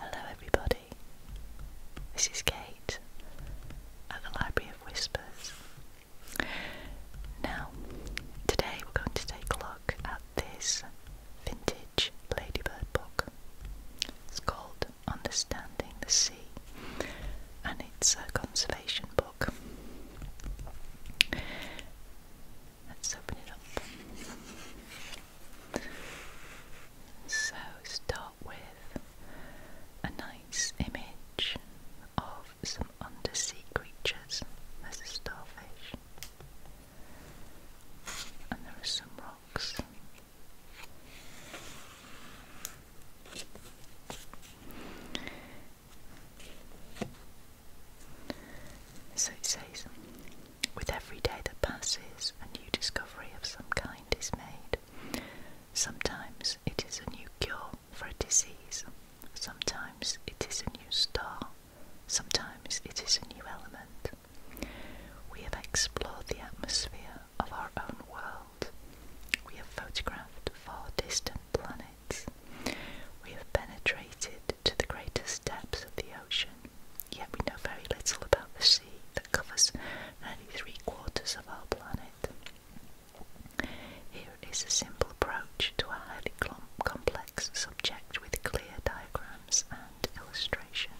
Hello, everybody. This is Kate at the Library of Whispers. Now, today we're going to take a look at this vintage ladybird book. It's called Understanding the Sea and it's a conservation book. Let's open it up. So, start with a nice image of some undersea creatures. There's a starfish, and there are some rocks. So it says, with every day that passes, a new discovery of some kind is made. Sometimes it is a new cure for a disease, sometimes it is a new star, sometimes it is a new element. We have explored the atmosphere of our own world. We have photographed far distant planets. We have penetrated to the greatest depths of the ocean, yet we know very little about the sea that covers nearly three quarters of our planet. Here is a simple approach to a highly complex subject with clear diagrams and illustrations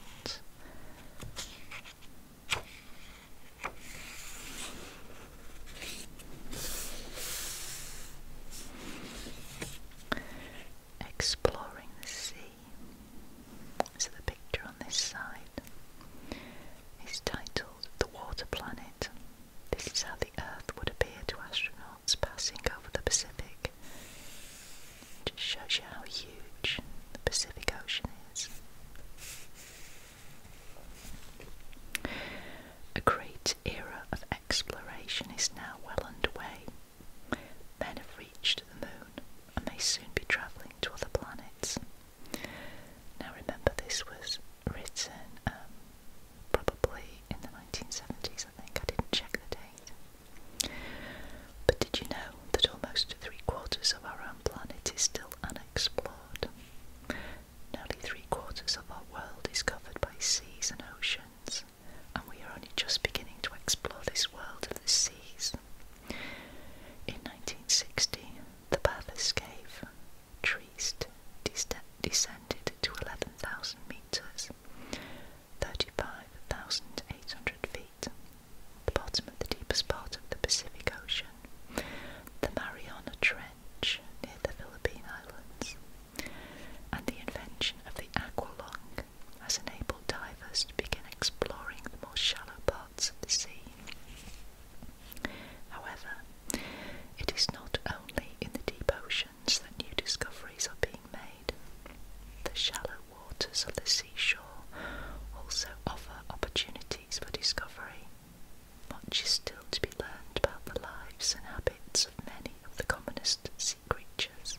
exploring the sea. So the picture on this side is titled The Water Planet. This is how the Earth would appear to astronauts passing over the Pacific. just shows you how huge the Pacific Ocean is. A crater era of exploration is now well underway. Men have reached the moon and may soon be travelling to other planets. Now, remember, this was written um, probably in the 1970s, I think. I didn't check the date. But did you know that almost three quarters of our own planet is still unexplored? Nearly three quarters of our world is covered by seas and oceans, and we are only just beginning to explore this world of the seas. In 1960, the Bathurst Cave, Triest, descended to 11,000 metres, 35,800 feet, the bottom of the deepest part of the Pacific Ocean, the Mariana Trench near the Philippine Islands and the invention of the aqua lung has enabled divers to begin exploring the more shallow parts of the sea. However, it is not only in the deep oceans that new discoveries are being made. The shallow waters of the seashore also offer opportunities for discovery. Much is still to be learned about the lives and habits of many of the commonest sea creatures.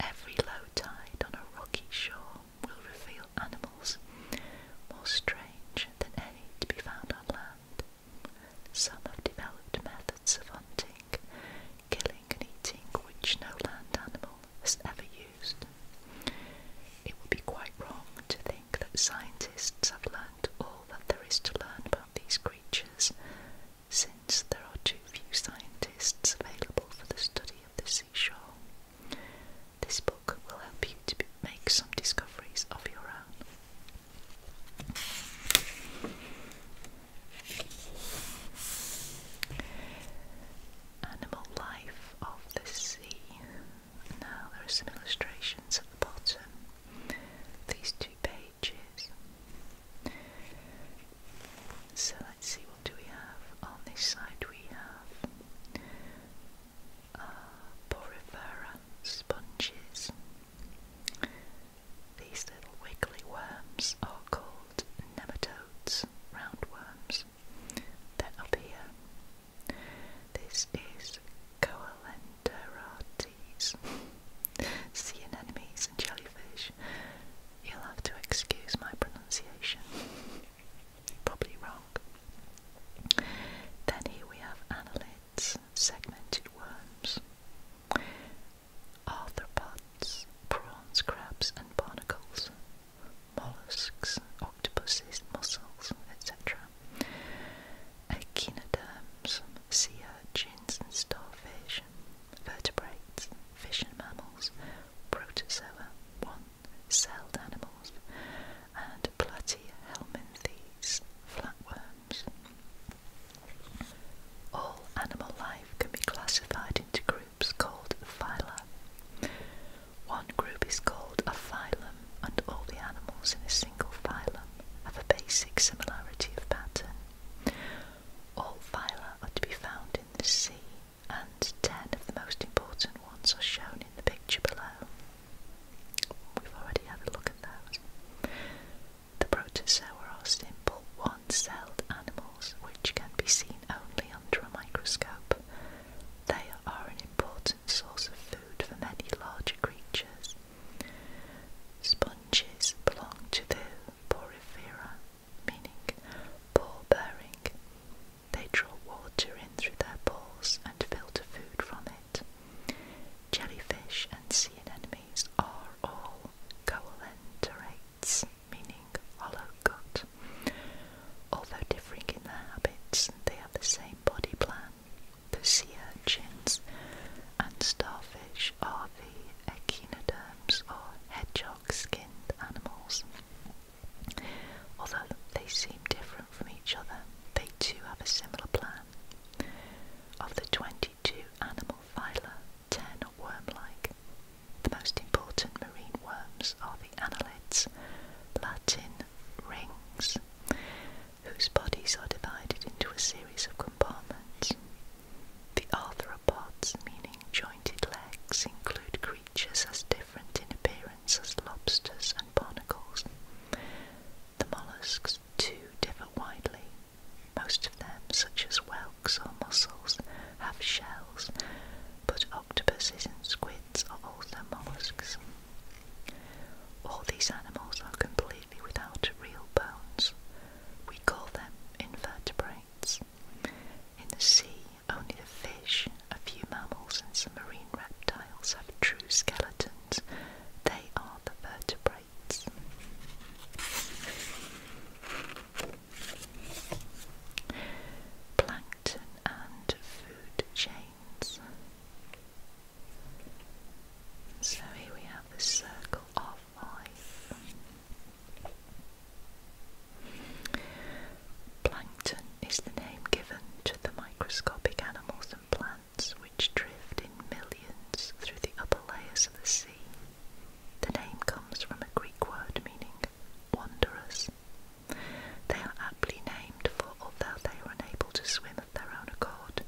Every low tide on a rocky shore will reveal animals more strange than any to be found on land. Some have developed methods of hunting, killing, and eating which no land animal has ever used. It would be quite wrong to think that scientists have learned all that there is to learn about these creatures since there are too few scientists available for the study of the seashore. This book will help you to make some discoveries of your own. Animal life of the sea. Now there are some illustrations at the bottom. These two pages pages. So let's see what do we have on this side. We have uh, porifera sponges. These little wiggly worms are called nematodes, round roundworms. Then up here, this is coelen pterodactyls, sea anemones and jellyfish. You'll have to excuse my pronunciation. Probably wrong. Then here we have annelids, segmented worms, arthropods, prawns, crabs and barnacles, mollusks, octopuses, mussels, etc echinoderms, sea urchins and starfish, vertebrates, fish and mammals, protozoa, one-celled animals, and platyhelminthes, flatworms. All animal life can be classified into groups called phylum. One group is called a phylum, and all the animals in a single phylum have a basic similarity of pattern all phyla are to be found in the sea, and ten of the most important ones are shown in the picture below. We've already had a look at those. The protozoa are simple one-celled animals which can be seen only under a microscope. They are an important source of food for many larger creatures, Sponges belong to the porifera, meaning pore-bearing. They draw water in through their pores and filter food from it. Jellyfish and sea anemones are all coelenterates, meaning hollow gut. Although differing in their habits, they have the same body plan the sea urchins, and starfish are the echinoderms or hedgehog-skinned animals. Although they seem different from each other, they too have a similar plan. Of the 22 animal phyla, 10 are worm-like. The most important marine worms are the annelids, Latin rings, whose bodies are divided into a series of compartments. The arthropods, meaning jointed legs, include creatures as different in appearance as lobsters and barnacles. The mollusks, too, differ widely. Most of them, such as whelks or mussels, have shells, but octopuses and squids are also mollusks. All these animals are completely without real bones, we call them invertebrates. In the sea, only the fish, a few mammals, and some marine reptiles have true skeletons. They are the vertebrates. Plankton and food chains. So here we have the circle of Plankton is the name given to the microscopic animals and plants which drift in millions through the upper layers of the sea. The name comes from a Greek word meaning wanderers. They are aptly named for although they are unable to swim of their own accord,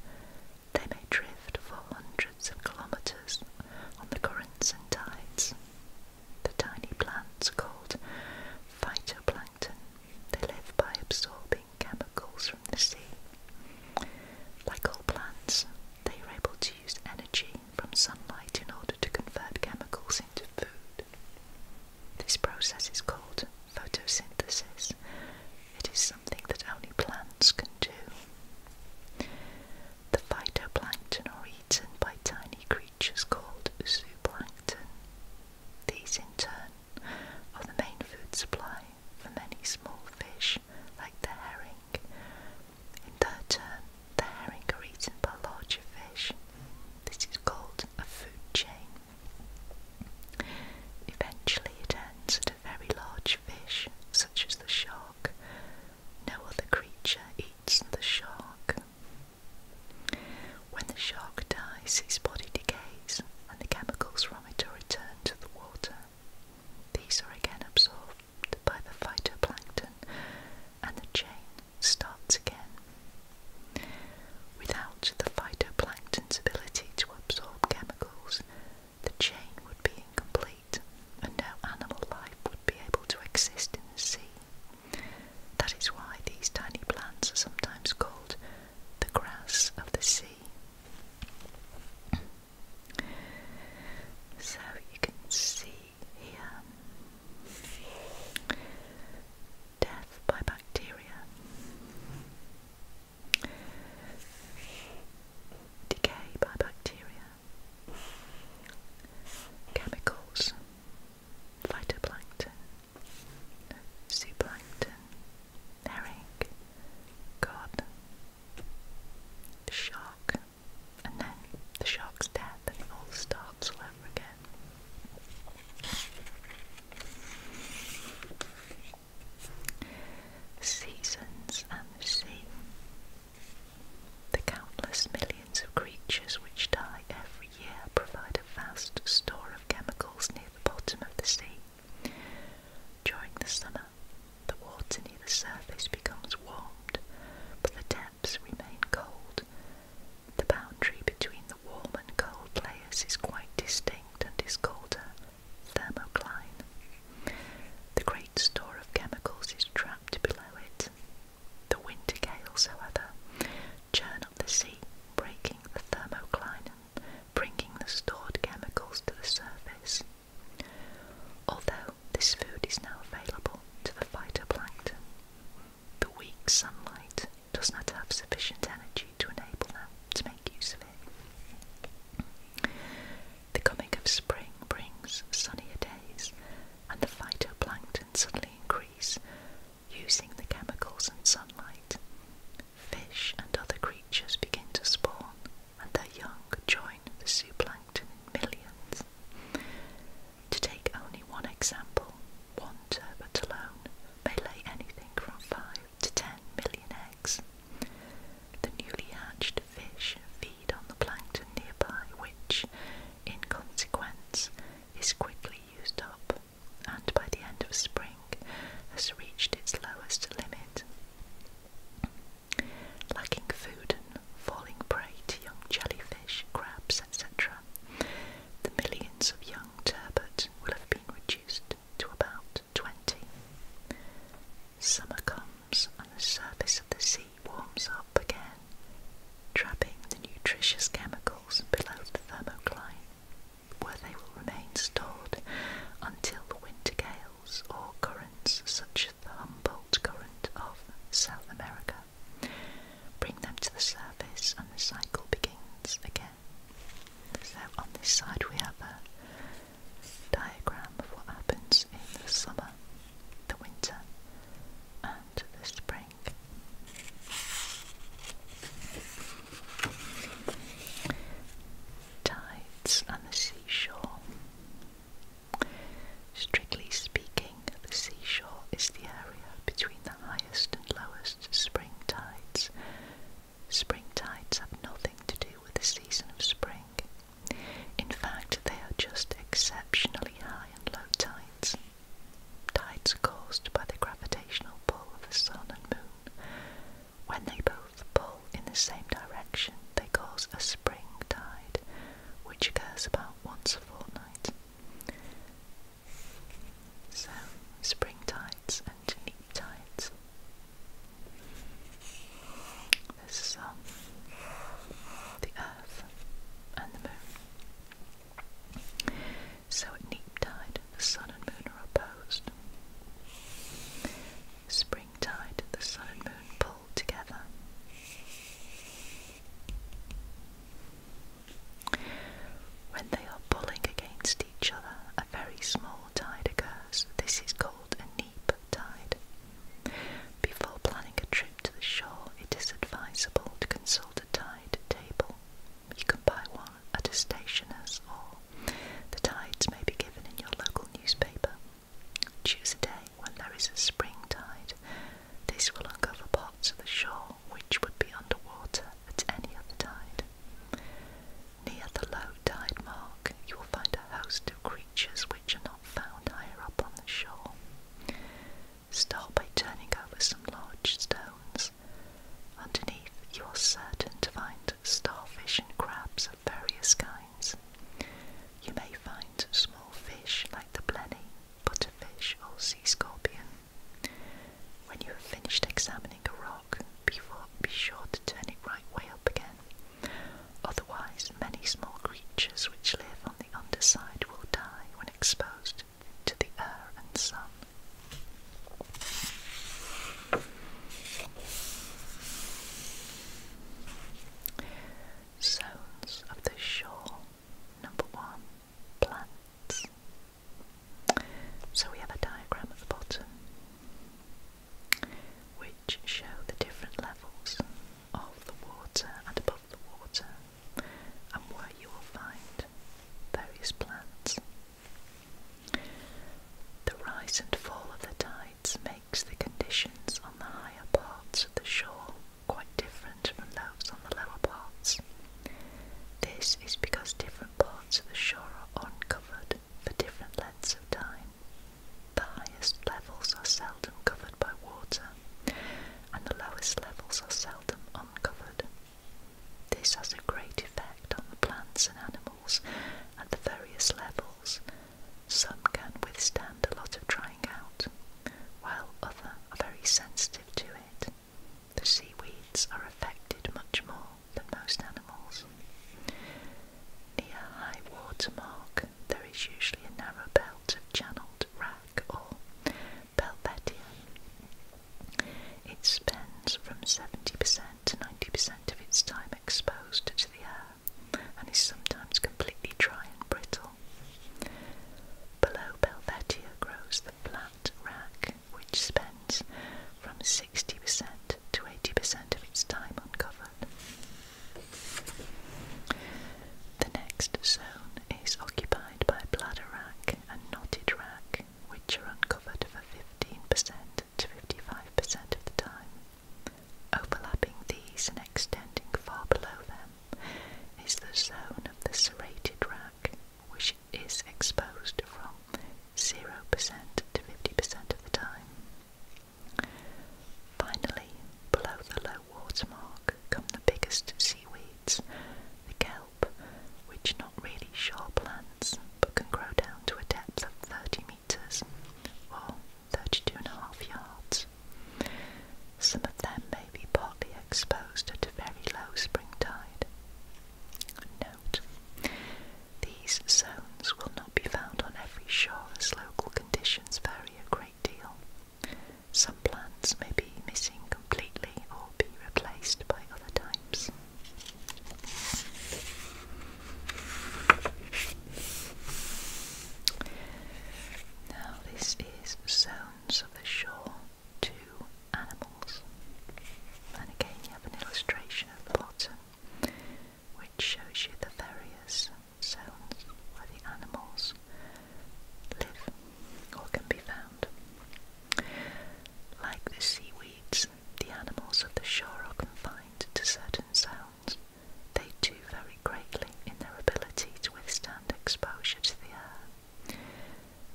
they may drift for hundreds of kilometers on the currents and tides. The tiny plants are called phytoplankton. They live by absorbing chemicals from the sea. Like all plants, they are able to use energy from sunlight in order to convert chemicals into food. This process is called photosynthesis it is something that only plants can do. The phytoplankton are eaten by tiny creatures called zooplankton. These, in turn, are the main food supply for many small fish, like the herring. In turn, the herring are eaten by larger fish. This is called a food chain. Eventually, it ends very large fish, such as the shark. No other creature eats the shark. When the shark dies, its body decays and the chemicals from it return to the water. These are again absorbed by the phytoplankton and the chain starts again. Without the phytoplankton's ability to absorb chemicals, the chain would be incomplete and no animal life would be able to exist in the sea. That is why these tiny plants are sometimes called the grass of the sea. So you can see here death by bacteria decay by bacteria, chemicals, phytoplankton, zooplankton, herring, cod, the shark, and then the shark's death, and it all starts all over again. Seasons and the sea. The countless millions of creatures which die every year provide a vast store of chemicals near the bottom of the sea. During the summer, the water near the surface becomes warmed, but the depths remain cold. The boundary between the warm and cold layers is quite distinct and is called a thermocline. The great store of chemicals is trapped below it. The winter gales, however, churn up the sea, breaking the thermocline and bringing the stored chemicals to the surface. Although this food is now available to the phytoplankton, the weak sunlight does not have sufficient energy to enable them to make use of it. The coming of spring brings sunnier days, and the phytoplankton suddenly increase, using the chemicals and sunlight. Fish and other creatures begin to spawn, and their young join the zooplankton in millions. To take only one example, one turbot alone may lay anything from five to 10 million eggs. The newly hatched fish feed on the plankton nearby, which, in consequence, is quickly used up and by the end of spring has reached its lowest limit. Lacking food and falling prey to young jellyfish, crabs, etc., the millions of young turbot will have been reduced to about 20. Summer comes and the surface of the sea warms up again, trapping the nutritious chemicals below the thermocline, where they will remain stored until the winter gales or currents such as the Humboldt Current of South America bring them to the surface and the cycle begins again. So on this side we have a diagram of what happens in the summer, the winter, and the spring. Tides and the seashore. Strictly speaking, the seashore is the area between the highest and lowest spring tides Spring tides have nothing to do with the season of spring. In fact, they are just exceptionally high and low tides. Tides caused by the gravitational pull of the sun and moon. When they both pull in the same direction, they cause a spring tide, which occurs about once a fortnight. So, spring tides and neoptides. There's the sun, um, the earth, and the moon. So at neoptide, the sun and moon are opposed. Springtide, the sun and moon pull together. When they are pulling against each other, a very small tide occurs. This is called a before planning a trip to the shore, it is advisable to consult a tide table. You can buy one at a stationer's, or the tides may be given in your local newspaper. Choose a day when there is a spring tide. This will uncover parts of the shore which would be underwater at any other tide. Near the low tide mark, you will find a host of creatures which are not found higher up on the shore. Start by turning over some large stones. Underneath, you are certain to find starfish and crabs of various kinds. You may find small fish like the blenny, butterfish, or sea scorpion. When you have finished examining a rock, be sure to turn it right way up again Otherwise, many small creatures which live on the underside will die when exposed to the air and sun. Zones of the shore. Number one, plants. So we have a diagram at the bottom, which show the different levels of the water and above the water, and where you will find various plants. The rise and fall of the tides makes the conditions on the higher parts of the shore quite different from those on the lower parts. This is because different parts of the shore are uncovered for different lengths of time. The highest levels are seldom covered by water, and the lowest levels are seldom uncovered. This has a great effect on the plants and animals at the various levels. Some can withstand a lot of drying out, while others are very sensitive to it. The seaweeds are affected much more than most animals. Near high water mark, there is usually a narrow belt of channeled wrack or pelvetia. It spends from 70% to 90% of its time exposed to the air and is sometimes completely dry and brittle. Below Belvetia grows the flat wrack, which spends from 60% to 80% of its time uncovered. The next zone is occupied by bladder rack and knotted rack, which are uncovered for 15% to 55% of the time. Overlapping these and extending far below them is the zone of the serrated rack, which is exposed from 0% to 50% of the time. Finally, below the low water mark come the biggest seaweeds, the kelp, which are not really shore plants but can grow down to a depth of 30 metres or thirty-two and a half yards. Some of them may be partly exposed at a very low spring tide. No these zones will not be found on every shore as local conditions vary a great deal. Some plants may be missing completely or be replaced by other types. Now, this is zones of the shore to animals. And again, you have an illustration at bottom which shows you the various zones where the animals live or can be found. Like the seaweeds, the animals of the shore are confined to certain zones. They too vary greatly in their ability to withstand exposure to the air.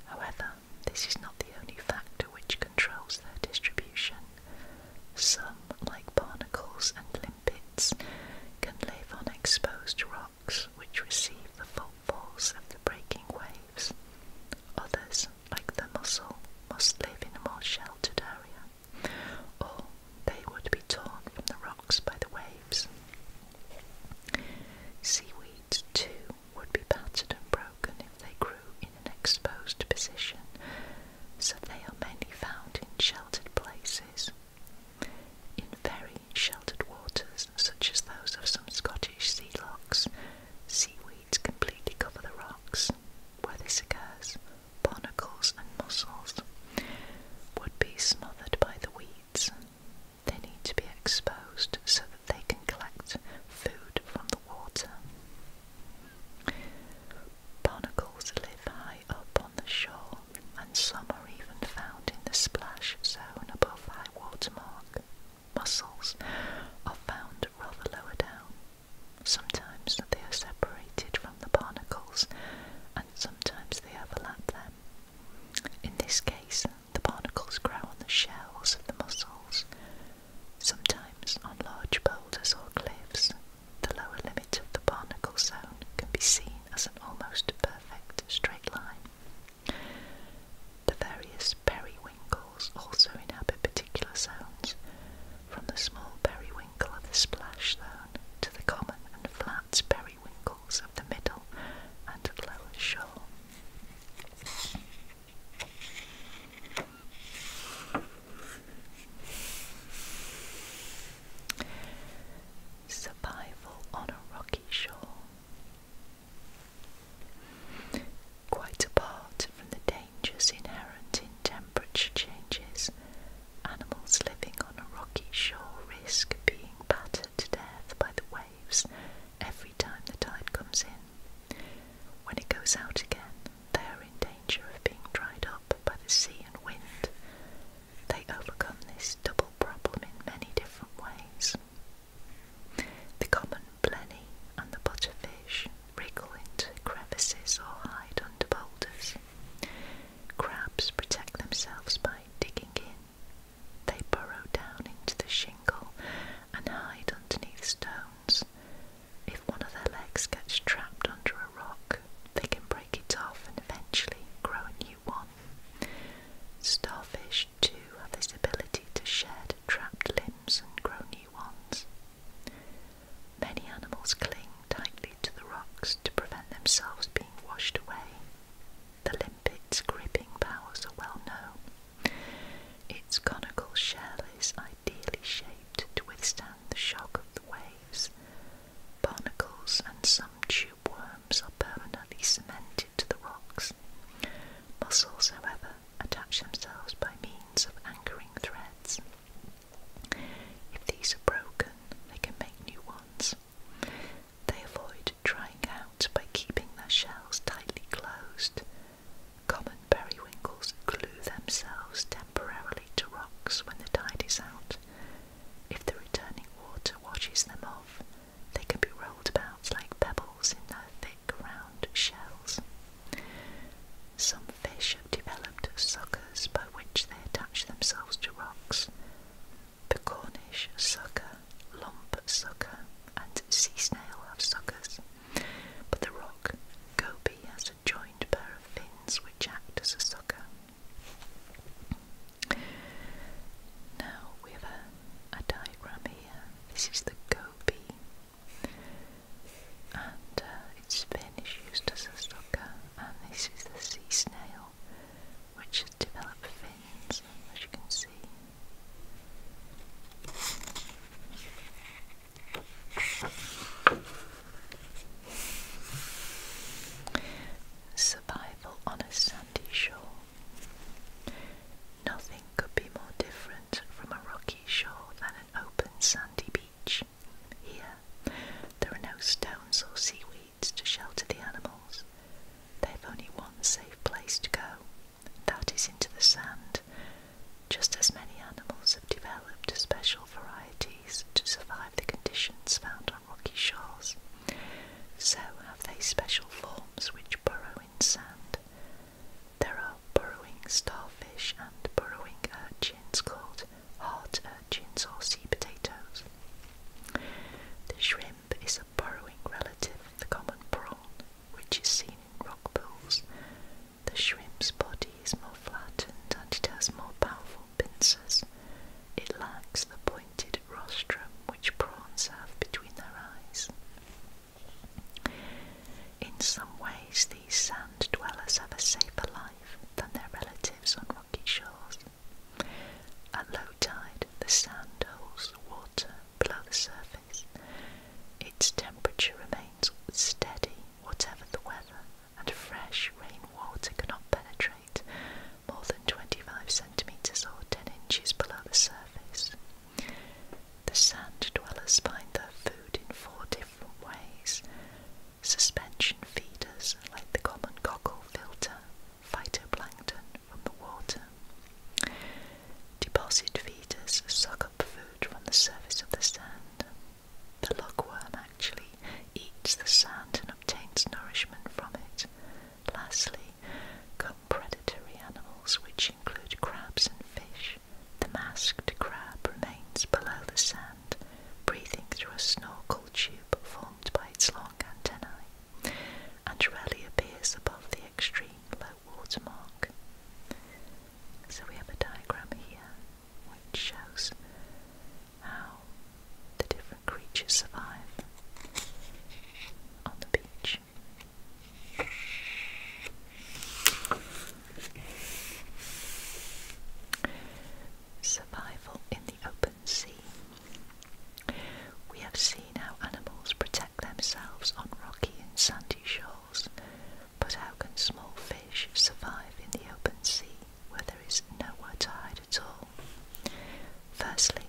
However, this is not the only factor which controls their distribution. Some, like barnacles and limpets, can live on exposed rocks which receive the full force of the breaking waves. Others, like the mussel, must live in a more sheltered area, or they would be torn from the rocks by the waves. Seaweed, too, would be battered and broken if they grew in an exposed position, so they are mainly found in sheltered places. In very sheltered waters, such as those of some Scottish sea lochs, seaweeds completely cover the rocks. Where this occurs, barnacles and mussels would be smothered by the weeds. They need to be exposed so that they can collect food from the water. Barnacles live high up on the shore, and some are even found in the splash zone above high water mark. Mussels are found rather lower down. Sometimes they are separated from the barnacles, and sometimes they overlap them. In this case, the barnacles grow on the shells of the mussels, Sometimes on large boulders or cliffs, the lower limit of the barnacle zone can be seen as an almost perfect straight line. The various periwinkles also inhabit particular zones, from the small periwinkle of the splash zone to the common and flat periwinkles of the middle and lower shore. Survival on a rocky shore. Quite apart from the dangers inherent in temperature changes, animals living on a rocky shore risk being battered to death by the waves every time the tide comes in. When it goes out again, they are in danger of being dried up by the sea and wind. They overcome this double problem in many different ways. The common blenny and the butterfish wriggle into crevices or hide under boulders. Crabs protect themselves by digging in. They burrow down into the shingle and hide underneath stones, if one of their legs gets trapped under a rock, they can break it off and eventually grow a new one. Starfish, too, have this ability to shed trapped limbs and grow new ones. Many animals cling tightly to the rocks to prevent themselves being washed away. The limpet's gripping powers are well known. Its conical shell is ideally shaped to withstand the shock of the waves. Barnacles and some tube worms are permanently cemented to the rocks. Mussels, however, attach themselves by means of anchoring threads. If these are broken, they can make new ones. They avoid drying out by keeping their shells tightly closed. Common periwinkles glue themselves temporarily to rocks when the tide is out. If the returning water washes them off, they can be rolled about like pebbles in their thick, round shells. Some fish have developed suckers by which they attach themselves to rocks. The Cornish sucker, lump sucker, and sea snail have suckers, but the rock goby has a pair of fins which act as a sucker. Now we have a, diagram here. This is the goby, and uh, its fin is used as a sucker, and this is the sea snail, which has developed fins, as you can see. Survival on a sandy shore. Nothing could be more different from a rocky shore than an open sandy beach. Here, there are no stones or seaweeds to shelter the animals. They've only one safe place to go, that is into the sand, just as many animals have developed special varieties to survive the conditions found on rocky shores, so have they special forms which burrow in sand. There are burrowing starfish and burrowing urchins called heart urchins or sea potatoes. The shrimp is a burrowing relative of the common prawn, which is seen in rock pools, the shrimp's body is more flattened and it has more powerful pincers. It lacks the pointed rostrum which prawns have between their eyes. In some ways, these sand dwellers have a safer life than their relatives on rocky shores. At low tide, the sand holds the water below the surface. Its temperature remains steady whatever the weather, and fresh rainwater cannot penetrate more than 25 centimetres or 10 inches below the surface. The sand dwellers find their food in four different ways. Suspension feeders, like the common cockle filter, phytoplankton from the water. Deposit feeders suck up food from the surface of the sand. The lugworm actually eats the sand and obtains nourishment from it. Lastly, come predatory animals which include crabs and fish. The masked crab remains below the sand, breathing through a snorkel tube formed by its long antennae, and rarely appears above the extreme low water mark. So we have a diagram here which shows how the different creatures survive on the beach. Survival in the open sea. We have seen how animals protect themselves on rocky and sandy shores but how can small fish survive in the open sea where there is nowhere to hide at all? Firstly,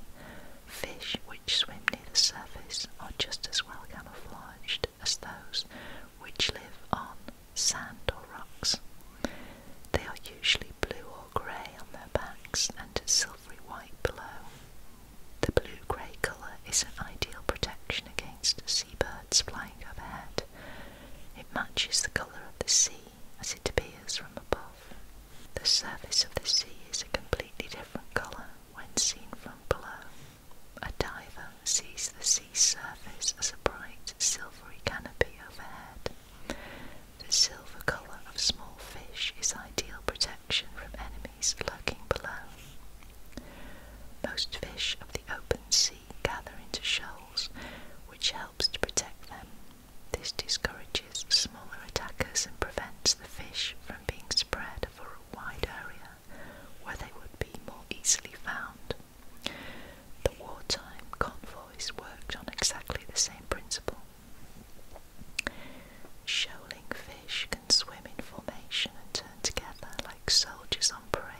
fish which swim near the surface are just as well camouflaged as those which live on sand or rocks. They are usually blue or grey on their backs and silvery white below. The blue grey colour is an ideal protection against seabirds flying overhead. It matches the colour of the sea as it appears from above. The surface of the sea is a completely different colour when seen from below. A diver sees the sea surface as a bright silvery canopy overhead. The silver colour of small fish is ideal protection from enemies lurking below. Most fish of the open sea gather into shoals, which helps to protect them. This discourages smaller attackers and prevents the fish from being spread over a wide area where they would be more easily found. The wartime convoys worked on exactly the same principle. Shoaling fish can swim in formation and turn together like soldiers on parade.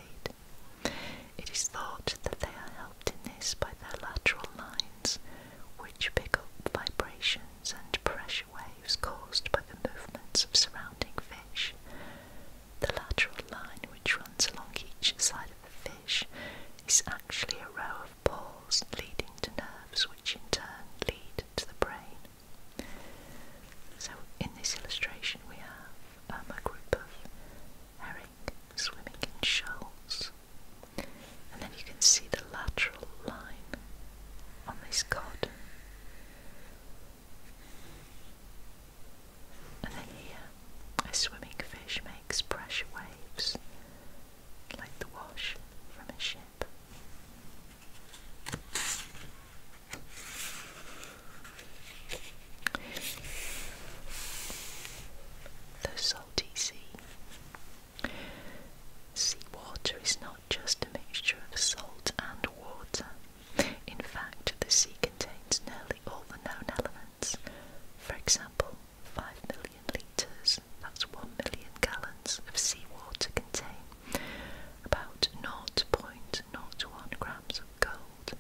It is thought that they are helped in this by their lateral lines, which pick up vibrations and pressure waves caused by the movements of surrounding fish. The lateral line, which runs along each side of the fish, is actually a row of pores leading to nerves, which in turn lead to the brain. So, in this illustration, we have a uh, group of herring swimming in shoals. And then you can see the lateral line on this cod. And then here, a swimming fish makes pressure waves like the wash from a ship. The salty sea. Seawater is not just a mixture of salt and water. In fact, the sea contains nearly all the known elements. For example, 5 million litres, that's 1 million gallons, of seawater contain about 0.5 not one gram of gold,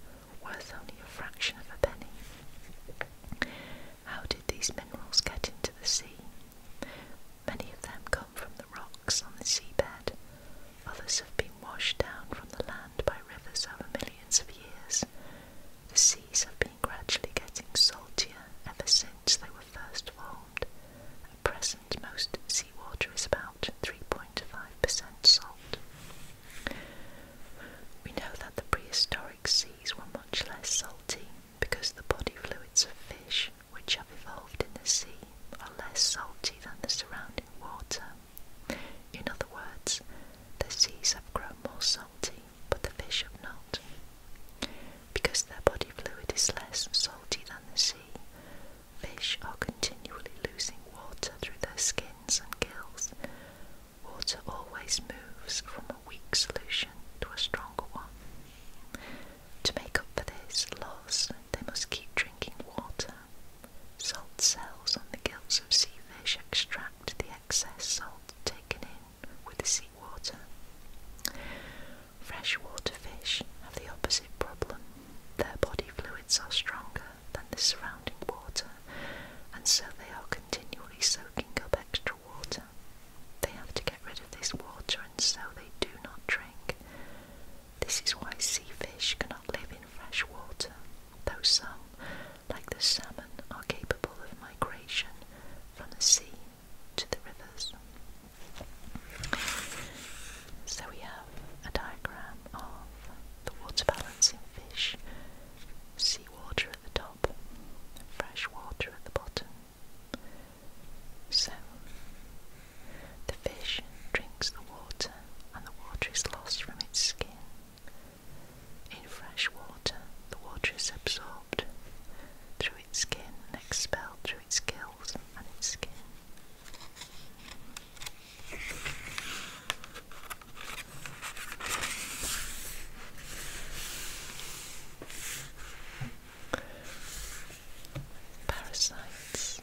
worth only a fraction of a penny. How did these minerals get into the sea? Many of them come from the rocks on the seabed. Others have been washed down from the land by rivers over millions of years. The seas have been gradually getting saltier ever since they were first formed. At present, most Water is about 3.5% salt. We know that the prehistoric seas were much less salty because the body fluids of fish which have evolved in the sea are less salty than the surrounding water. In other words, the seas have grown more salty, but the fish have not. Because their body fluid is less salty than the sea, Fish are continually losing water through their skins and gills. Water always moves from a weak solution to a stronger one. To make up for this loss, they must keep drinking water. Salt cells on the gills of sea fish extract the excess salt taken in with the seawater. Freshwater fish have the opposite problem. Their body fluids are stronger than the surrounding water, and so they are continually soaking up extra water. They have to get rid of this water, and so they do not drink. This is why sea fish cannot live in fresh water, though some, like the salmon, are capable of migration from the sea to the rivers. So we have a diagram of the water balancing fish, seawater at the top, fresh water at the bottom. So, the fish drinks the water and the water is lost from its skin. In fresh water, the water is absorbed through its skin and expelled through its gills and its skin. Parasites.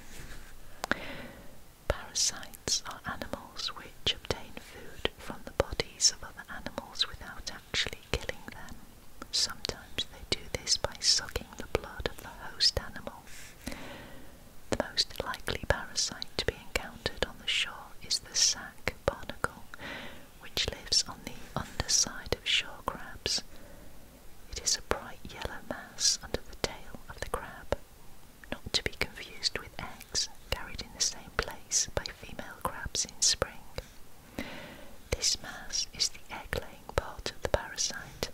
Parasites are animals which obtain food from the bodies of other animals without actually killing them. Sometimes they do this by sucking the blood of the host animal the most likely parasite to be encountered on the shore is the sac barnacle, which lives on the underside of shore crabs. It is a bright yellow mass under the tail of the crab, not to be confused with eggs carried in the same place by female crabs in spring. This mass is the egg laying part of the parasite.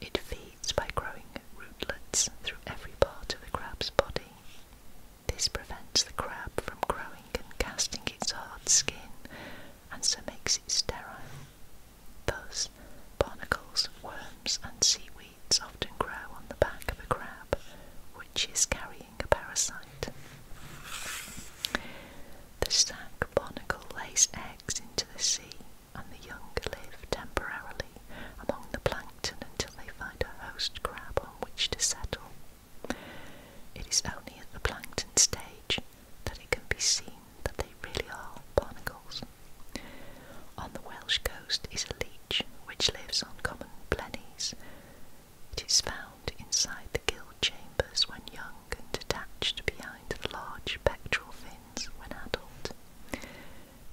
It feeds by growing rootlets through every part of the crab's body. This prevents the crab from growing and casting its hard skin and so makes it sterile. Thus, barnacles, worms, and seaweeds often grow on the back of a crab, which is carrying a parasite. The sac barnacle lays eggs into the sea and the young live temporarily among the plankton until they find a host crab on which to settle. It is only at the plankton stage that it can be seen that they really are barnacles. On the Welsh coast is a leech which lives on common blennies. It is found inside the gill chambers when young and attached behind the large pectoral fins when adult.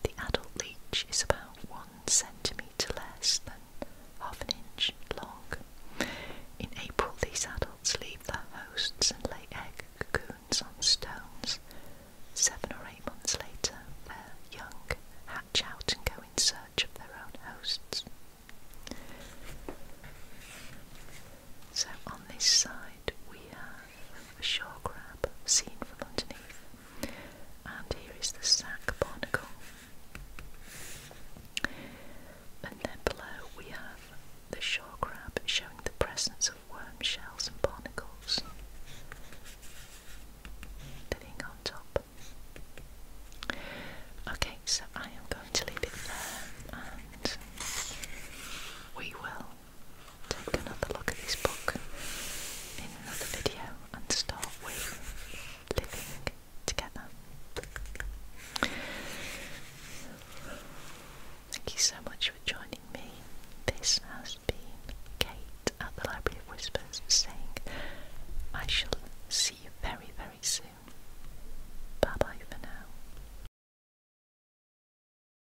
The adult leech is about one centimetre less than half an inch long. In April, these adults leave their hosts and lay egg cocoons on stones. Seven or eight months later, their young hatch out and go in search of their own hosts. So on this side, we have a shore crab seen from underneath. And here is the sac barnacle. And then below we have the shore crab showing the presence of worm shells and barnacles living on top. Okay, so I am going to leave it there and we will take another look at this book in another video and start with living together. Thank you so much for joining me. This has been Kate at the Library of Whispers saying, I shall see you very, very soon. Bye bye for now.